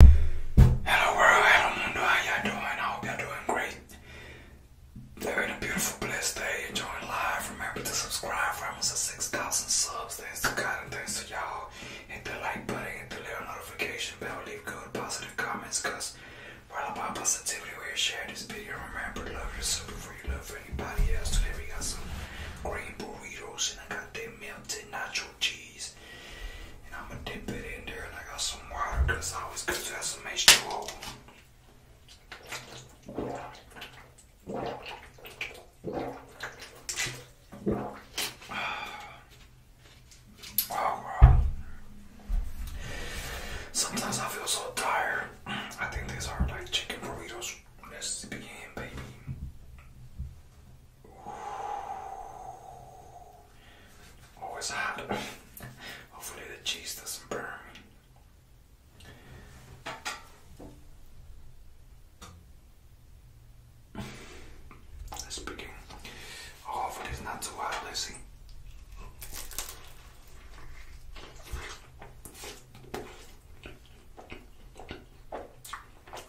Hello world, hello mundo, how y'all doing? I hope y'all doing great. They're in a beautiful, blessed day. Enjoy life. Remember to subscribe for almost 6,000 subs. Thanks to God and thanks to y'all. Hit the like button, hit the little notification bell, leave good positive comments because we're all about positivity. we share this video. Remember, love yourself before you love anybody else. Today we got some green burritos and I got them melted nacho cheese. And I'm gonna dip it in there and I got some water because it's always good to have some H2O. Ah. Sometimes I feel so tired. I think these are like chicken burritos. let baby. What was that? Hopefully the cheese doesn't burn. Let's oh, hopefully it's not too hot, let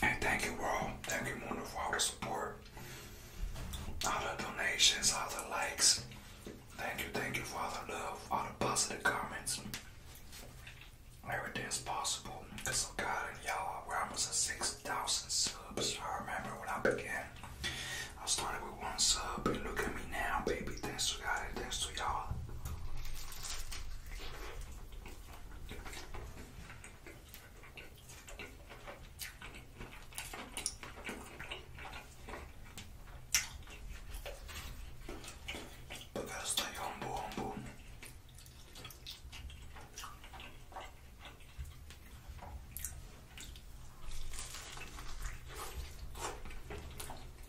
And thank you all. Thank you Mona for all the support. All the donations, all the likes. Thank you, thank you for all the love, all the positive comments. Everything's possible because of God and y'all. We're almost at 6,000 subs. I remember when I began. I started with one sub, and look at me now, baby. Thanks to God, and thanks to y'all. But got stay humble, humble.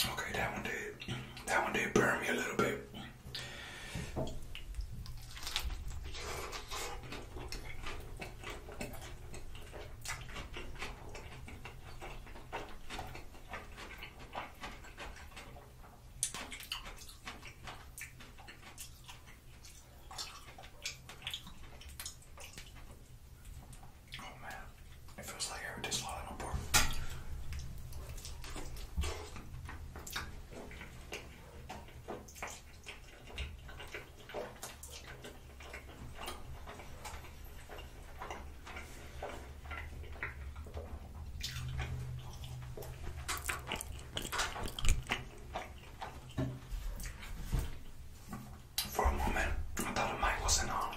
Okay, that one did. That one did burn me a little bit. Oh man, it feels like I just swallowed a pork. For a moment, I thought the wasn't on.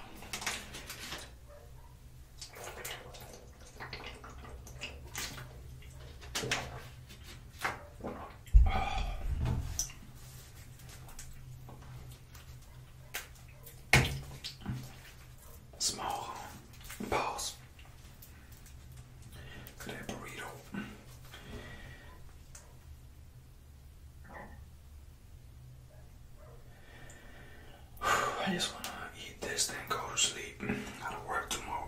Small pause. Could burrito. I just wanna eat this, then go to sleep. Gotta work tomorrow.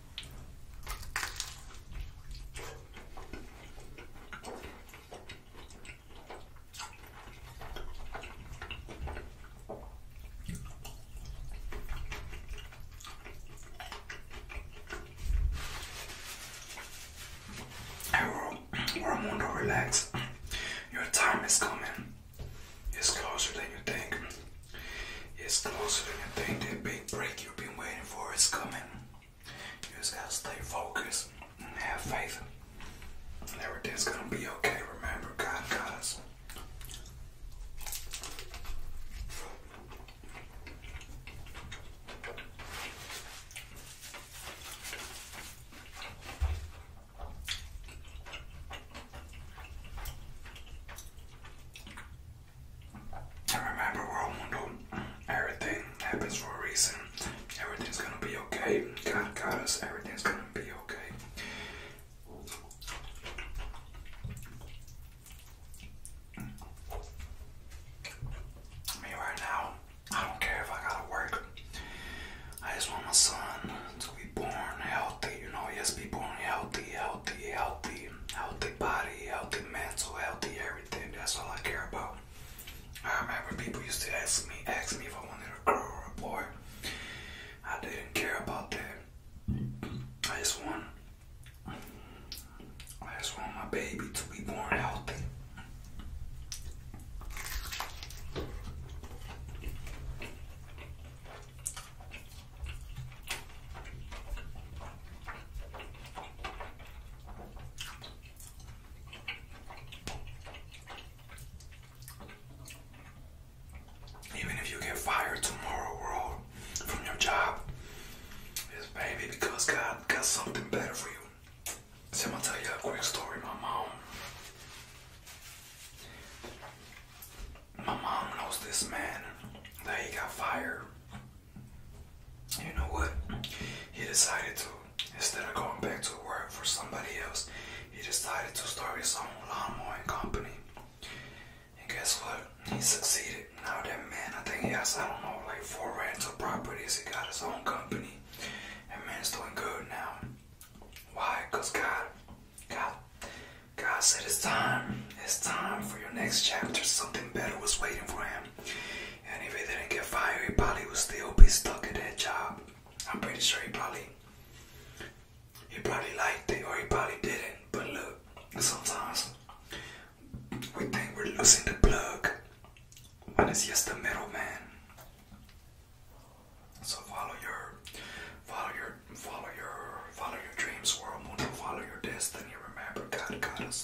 Ramundo, relax. Your time is coming. It's closer than you think. It's closer than you think. That big break you've been waiting for is coming. You just gotta stay focused and have faith. And everything's gonna be okay. Remember, God got and remember, world mundo, everything happens for a reason. Everything's gonna be okay. God got Everything's gonna be okay. Me right now, I don't care if I gotta work. I just want my son to be born healthy, you know, he yes, be born healthy, healthy, healthy, healthy body, healthy mental, healthy everything. That's all I care about. Um, I remember people used to ask me, ask me if I wanted a girl or a boy. I didn't care about that. I just want, I just want my baby to be born healthy. Even if you get fired tomorrow, world, from your job, it's baby because God got something better for you. So I'm gonna tell you a quick story. My mom, my mom knows this man that he got fired you know what? He decided to, instead of going back to work for somebody else, he decided to start his own lawn mowing company. And guess what? He succeeded. Now that man, I think he has, I don't know, like four rental properties. He got his own company. And man, it's doing good now. Why? Because God, God, God said it's time. It's time for your next chapter. Something better was waiting for him. And if he didn't get fired, he probably would still be stuck at that job. I'm pretty sure he probably he probably liked it or he probably didn't. But look, sometimes we think we're losing the plug when it's just the middleman. So follow your follow your follow your follow your dreams, world, follow your destiny. Remember, God got us.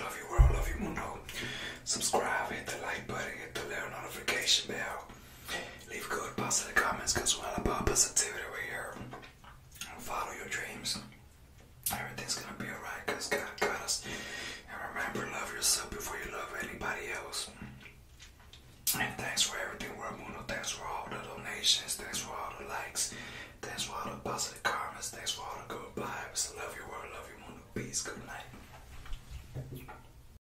Love you world, love you mundo. Subscribe, hit the like button, hit the little notification bell. Leave good positive comments because we're all about positivity right here. Follow your dreams. Everything's gonna be alright because God got us. And remember, love yourself before you love anybody else. And thanks for everything, World Mundo. Thanks for all the donations. Thanks for all the likes. Thanks for all the positive comments. Thanks for all the good vibes. Love you, world. Love you, Mundo. Peace. Good night.